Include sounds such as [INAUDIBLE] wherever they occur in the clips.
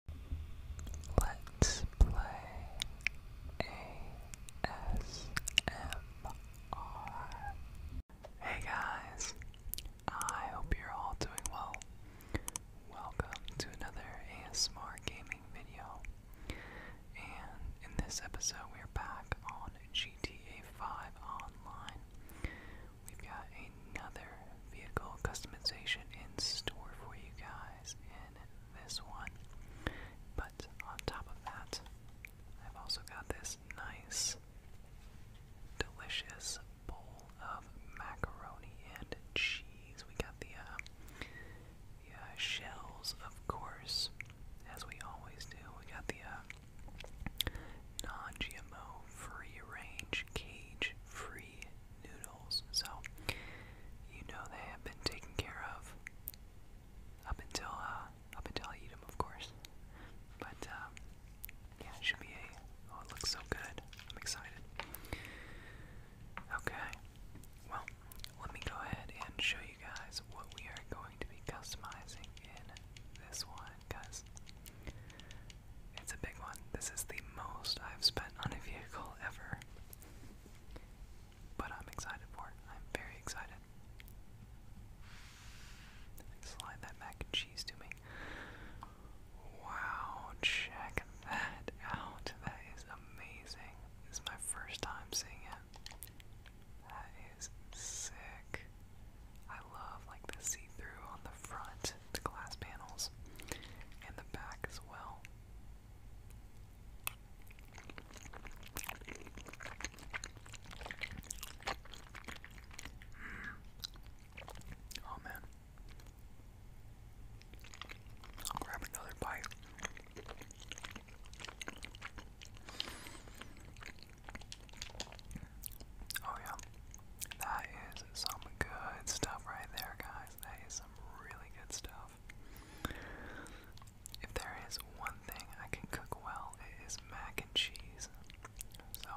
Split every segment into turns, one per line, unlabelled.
Hey guys, I hope you're all doing well. Welcome to another ASMR gaming video. And in this episode, we are back on GTA 5 Online. We've got another vehicle customization in store for you guys in this one. But on top of that, I've also got this nice, delicious bowl of macaroni and cheese. We got the, uh, uh shells, of course, as we always do. We got the uh, non-GMO, free-range, cage-free noodles. So you know they have been taken care of up until uh, up until I eat them, of course. But um, yeah, it should be a. Oh, it looks so good! I'm excited. Okay, well, let me go ahead and show you guys what we are going to be customizing in this one, guys. It's a big one. This is the most I've spent on a vehicle ever. But I'm excited for it. I'm very excited. Slide that mac and cheese to me. Wow, check that out. That is amazing. This my first time seeing it. That is sick. I love like the see-through on the front, the glass panels, and the back as well. Mm. Oh man. I'll grab another bite. Oh yeah. That is some good stuff right there, guys that is some really good stuff. If there is one thing I can cook well, it is mac and cheese. So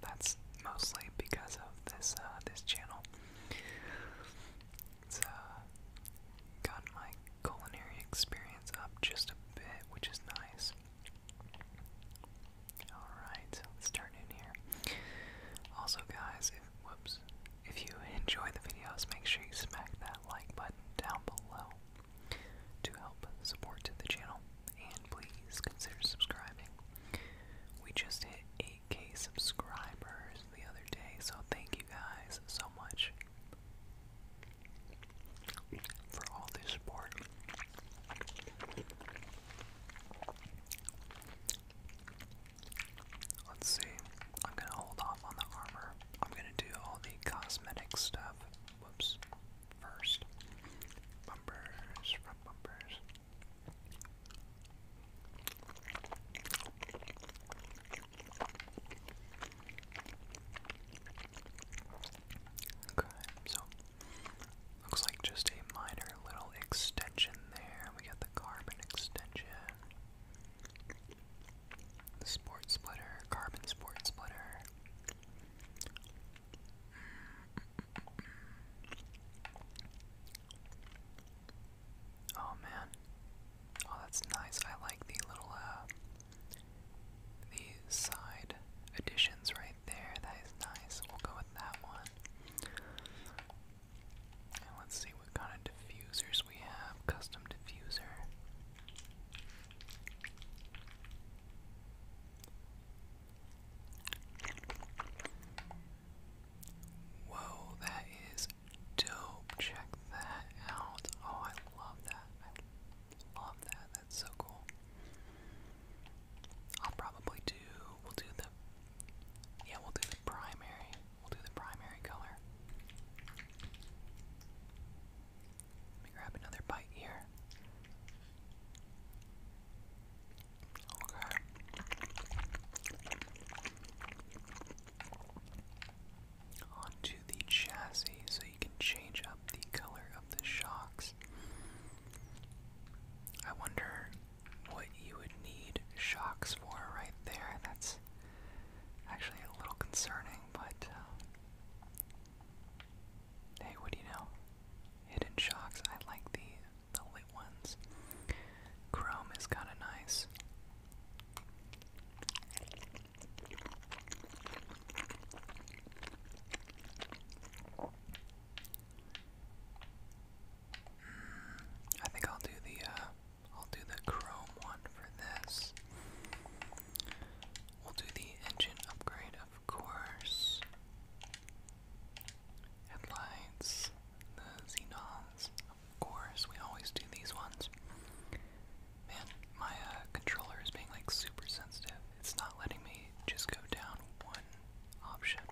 that's mostly because of this uh, this channel. It's uh, got my culinary experience up just a bit, which is nice. Alright, let's turn in here. Also, guys, whoops, if you enjoy the videos, make sure you smack that like button down below to help support the channel, and please consider subscribing. We just hit 8k subscribers the other day, so thank you guys so much for all the support. Let's see. I'm gonna hold off on the armor. I'm gonna do all the cosmetic stuff. Whoops. First. Bumpers, front bumpers. Okay, so looks like just a minor little extension there. We got the carbon extension. The sport splitter, carbon sport splitter. Oh man. Oh, that's nice. I like the little, uh, the side additions right there. That is nice. We'll go with that one let's see what kind of diffusers we have. Custom diffuser. Whoa, that is dope. Check that out. Oh, I love that. love that. That's so cool. I'll probably do, we'll do the, yeah, we'll do primary. We'll do the primary color. Let me grab another bite here. Okay. Onto the chassis, so you can change up the color of the shocks. I wonder what you would need shocks for right there. That's actually a little concerning, but uh, hey, what do you know? Hidden shocks. I like the the lit ones. Chrome is kind of nice. I think I'll do the uh, I'll do the chrome one for this. We'll do the engine upgrade, of course. Headlights, the xenons, of course. We always do these ones. Man, my uh, controller is being like super sensitive. It's not letting me just go down one option.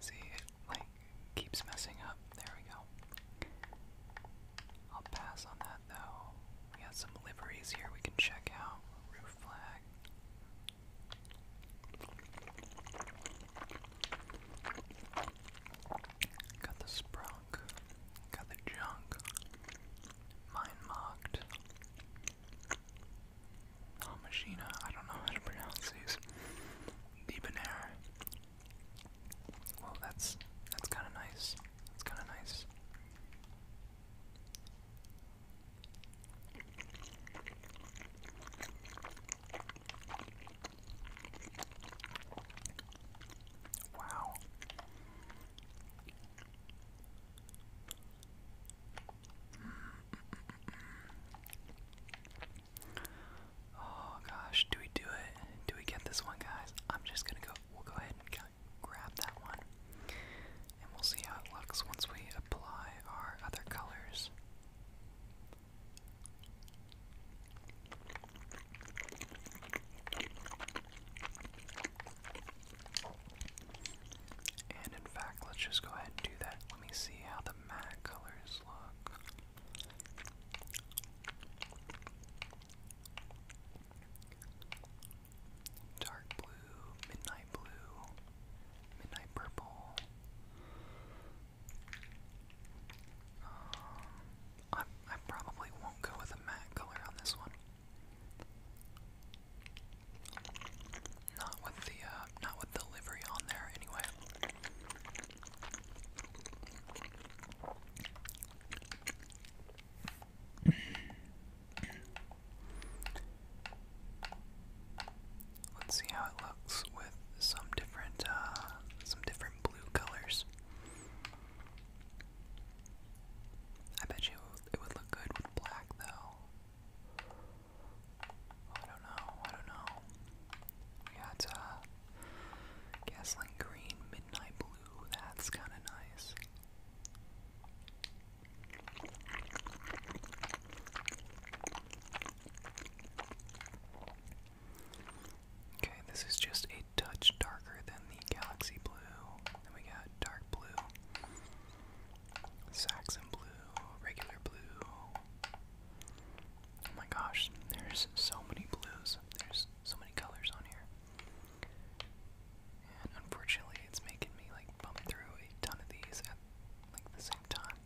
See, like keeps messing up. There we go. I'll pass on that though. We got some liveries here we can check out. Roof flag. Got the sprunk. Got the junk. Mine mocked. Oh, I don't know how to pronounce these debonair. Well, that's that's kind of nice. That's kind of nice. Wow. Oh gosh, do we do it? Do we get this one, guys? I'm just gonna go. We'll go ahead and grab that one, and we'll see how it looks once we apply our other colors. And in fact, let's just go ahead and do that. Let me see how the matte colors look. Dark blue, midnight blue, midnight purple. Um, I, I probably won't go with a matte color on this one. Not with the uh, not with the livery on there anyway. Let's see how it looks with some different uh, some different blue colors. I bet you it would look good with black though. I don't know, I don't know. Yeah, uh, gaslight green, midnight blue, that's kind of nice. Okay, this is just a touch darker than the galaxy blue. Then we got dark blue, Saxon blue, regular blue, Oh my gosh, there's so many blues. There's so many colors on here. And unfortunately, it's making me like bump through a ton of these at like the same time.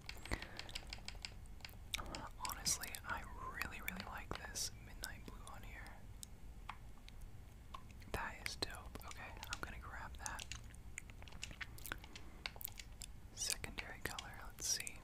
honestly, I really, really like this midnight blue on here. That is dope. Okay, I'm gonna grab that. Secondary color, let's see.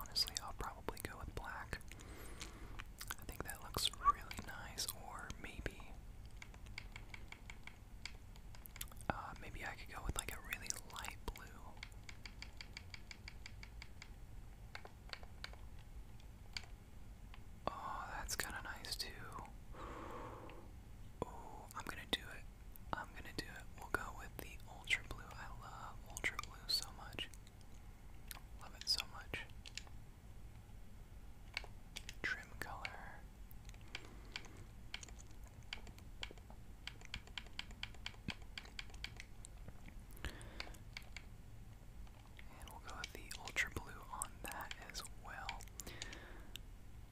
Honestly, I'll probably go with black. I think that looks really nice, or maybe uh, maybe I could go with like a really light blue. Oh, that's kind of nice too. Oh, I'm gonna do it. I'm gonna do it. We'll go with the ultra blue. I love ultra blue so much. Love it so much trim color. And we'll go with the ultra blue on that as well.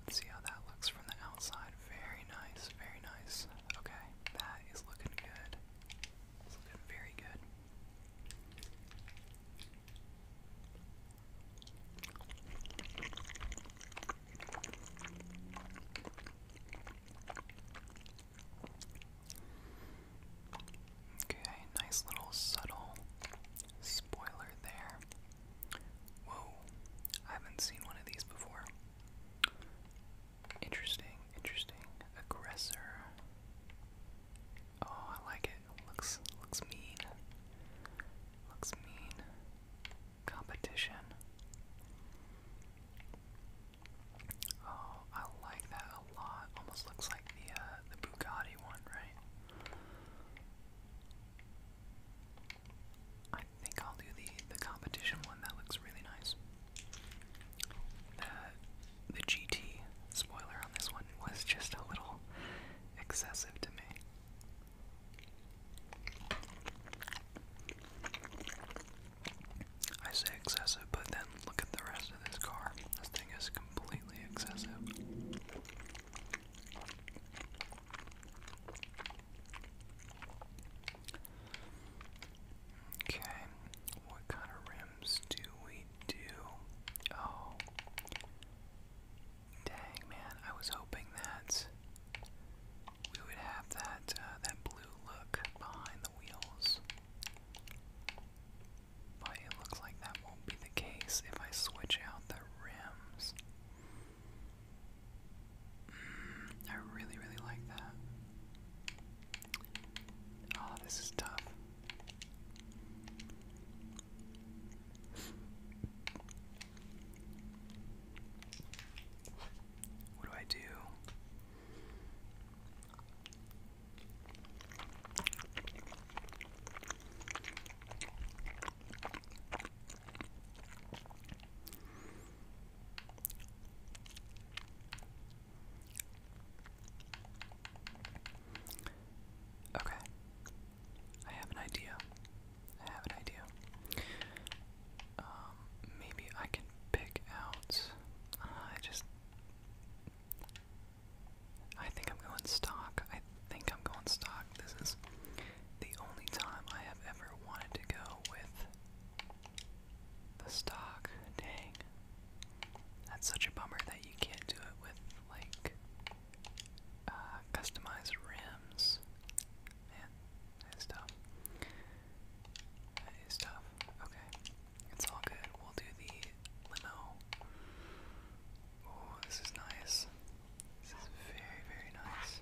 Let's see how that looks from the outside. Very nice, very nice. Okay, that is looking good. It's looking very good. Okay, nice little subtle spoiler there. Whoa, I haven't seen one of these before. Interesting, interesting. Aggressor. Oh, I like it. Looks looks mean. Looks mean. Competition. Oh, I like that a lot. Almost looks like the uh, the Bugatti one, right? I think I'll do the the competition one. That looks really nice. The the GT spoiler on this one was just a little [LAUGHS] excessive to me. I say excessive, but then look at the rest of this car. This thing is completely excessive. Okay, what kind of rims do we do? Oh, Dang man, I was hoping that we would have that uh, that blue look behind the wheels. But it looks like that won't be the case if I switch out the rims. Mm, I really, really like that. Oh, this is tough. What do I do? Okay. I have an idea. I have an idea. Um, maybe I can pick out. Uh, I just. I think I'm going stock. I think I'm going stock. This is the only time I have ever wanted to go with the stock. Dang. That's such a bummer that you can't do it with, like, uh, customize rims. Man, that is tough. That is Okay. It's all good. We'll do the limo. Oh, this is nice. This is very, very nice.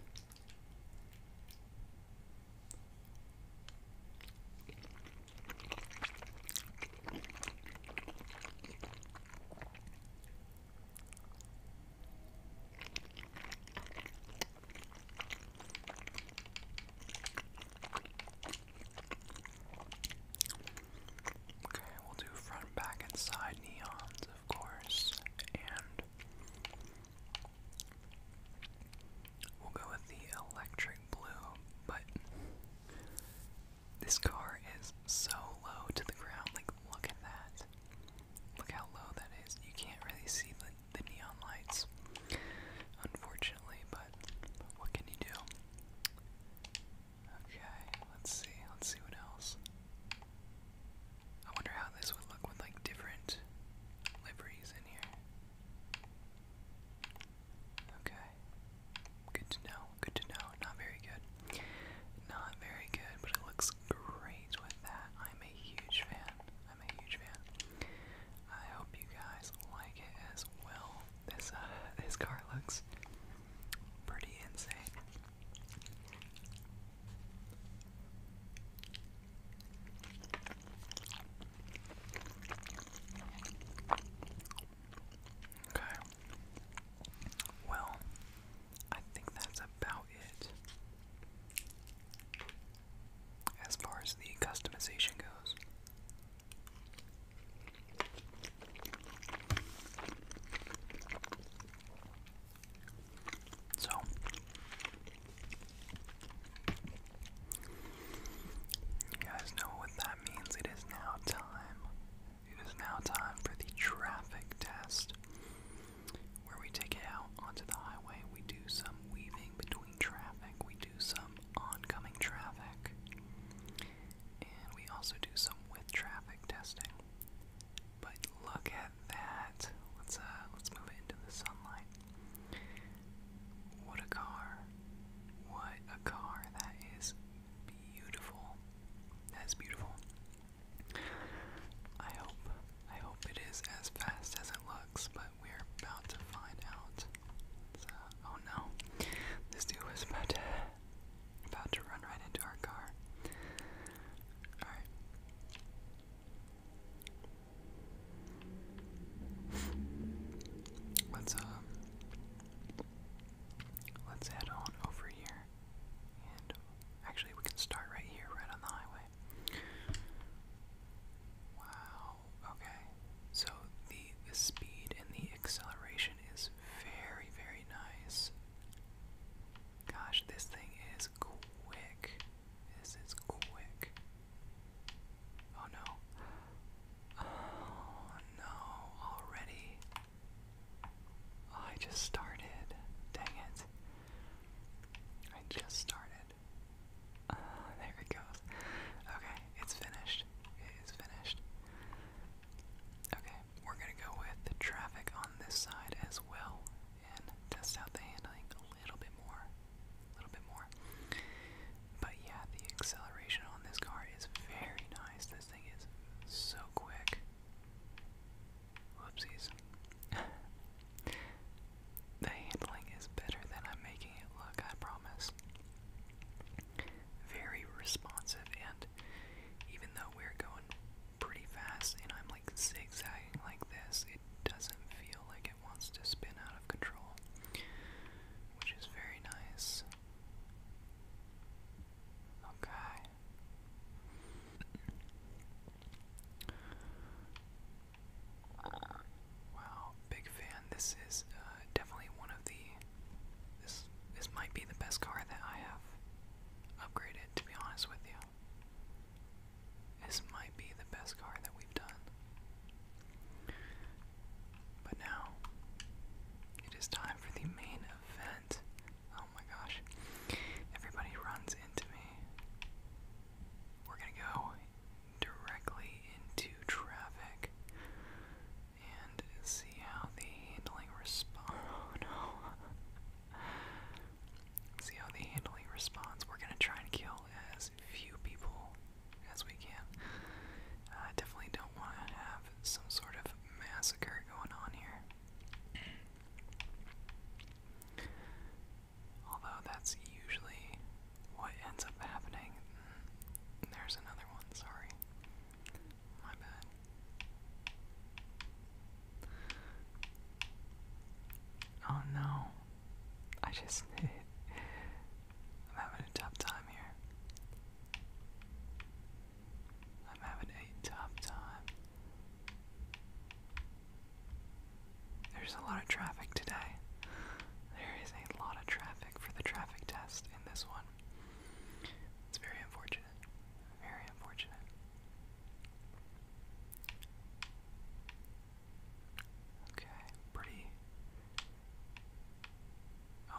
Okay, we'll do front, back, and side neons, of course, and we'll go with the electric blue, but this car is so low to the ground. Like, look at that. Look how low that is. You can't really see the, the neon lights, unfortunately, but what can you do? Okay, let's see. Let's see what else. I wonder how this would look with like different liveries in here. Okay. Good to know. Good to know not very good. Not very good, but it looks great with that. I'm a huge fan. I'm a huge fan. I hope you guys like it as well. This uh, [LAUGHS] this car looks pretty insane. Okay. Well, I think that's about it. As far as the customization goes. So, you guys know what that means. It is now time it is now time for the traffic test, where we take it out onto the highway. We do some weaving between traffic, we do some oncoming traffic, and we also do some with traffic testing. But look at that. Let's uh let's move it into the sunlight. What a car. What a car. That is beautiful. That is beautiful. I hope I hope it is as fast as it looks, but we're about to find out. oh no, this dude was about to about to run right into our car. All right. Let's um let's head on over here actually, we can start right here, right on the highway. Wow. Okay. So the the speed and the acceleration is very very nice. Gosh, this thing is quick. This is quick. Oh no. [SIGHS] Oh no. Already. Oh, I just started. Dang it. I just started. Uh, there it goes. Okay, it's finished. It is finished. Okay, we're gonna go with traffic on this side as well and test out the handling a little bit more. A little bit more. But yeah, the acceleration on this car is very nice. This thing is so quick. Whoopsies. [LAUGHS] the handling is better than I'm making it look, I promise. Very responsive, and even though we're going pretty fast and I'm like zigzagging like this, it doesn't feel like it wants to spin out of control, which is very nice. Okay. Wow, big fan. This is uh, definitely one of the. This this might be the best car that I have upgraded. To be honest with you, this might be the best car that we've done. But now, it is time for the main event. Oh my gosh. Everybody runs into me. We're gonna go directly into traffic and see how the handling responds. [LAUGHS] Oh no. see how the handling responds. We're gonna try and kill as few people as we can. I definitely don't want to have some sort of massacre going on here. Although that's usually what ends up happening. There's another one, sorry. My bad. Oh no. I just. [LAUGHS] I'm having a tough time here. I'm having a tough time. There's a lot of traffic today. There is a lot of traffic for the traffic test in this one. It's very unfortunate. Very unfortunate. Okay, pretty. Oh,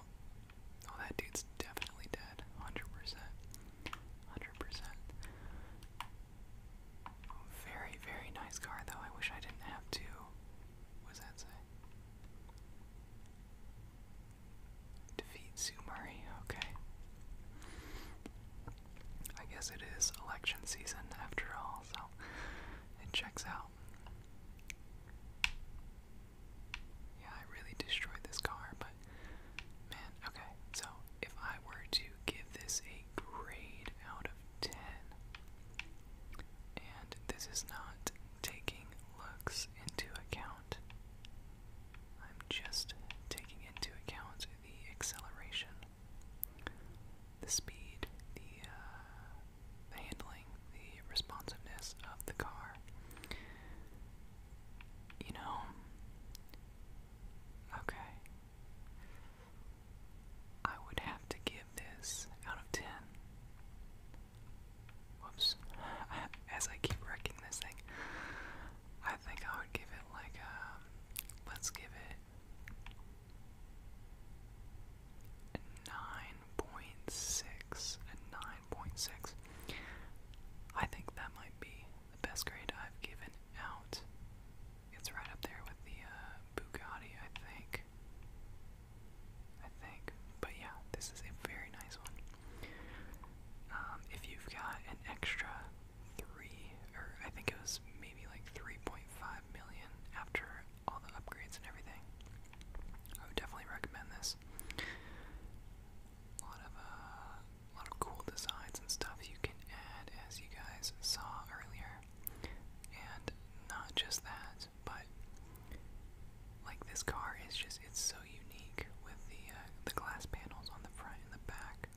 oh, that dude's definitely dead. 100%. 100 very, very nice car, though. I wish I didn't have to. What that say? Defeat Sue Okay. I guess it is election season after all, so it checks out. Yeah, I really destroyed this car, but Man, okay, so if I were to give this a grade out of 10, and this is not taking looks into account, I'm just taking into account the acceleration, the speed, the, uh, handling, the responsiveness of the car. You know, Okay. I would have to give this out of 10. Whoops. [LAUGHS] As I keep wrecking this thing, I think I would give it like a. Um, let's give it a 9.6. A 9.6. I think that might be the best grade I've given out. It's right up there with the uh, Bugatti, I think. I think. But yeah, this is a very nice one. Um, if you've got an extra three, or I think it was maybe like 3.5 million after all the upgrades and everything, I would definitely recommend this a lot of uh, a lot of cool designs and stuff you can add, as you guys saw earlier. And not just that, but like this car is just—it's so unique with the uh, the glass panels on the front and the back.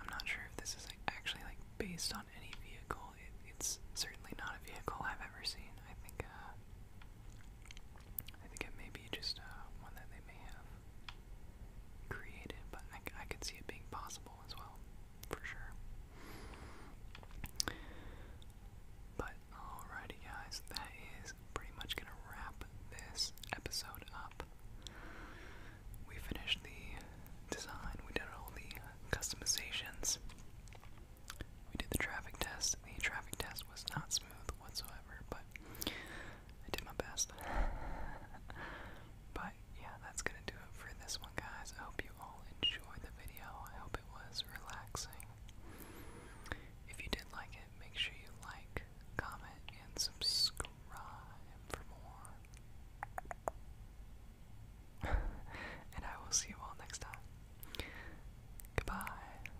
I'm not sure if this is like, actually like based on any vehicle. It, it's certainly not a vehicle I've ever seen. I think uh, I think it may be just uh, one that they may have created, but I, I could see it being possible as well, for sure. But alrighty, guys, that is pretty much gonna wrap this episode up. We finished the design, we did all the customizations, we did the traffic test. The traffic test was not smooth whatsoever, but I did my best. but yeah, that's gonna do it for this one, guys. I hope you all enjoyed the video. I hope it was relaxing. If you did like it, make sure you like, comment, and subscribe for more. [LAUGHS] and I will see you all next time. Goodbye.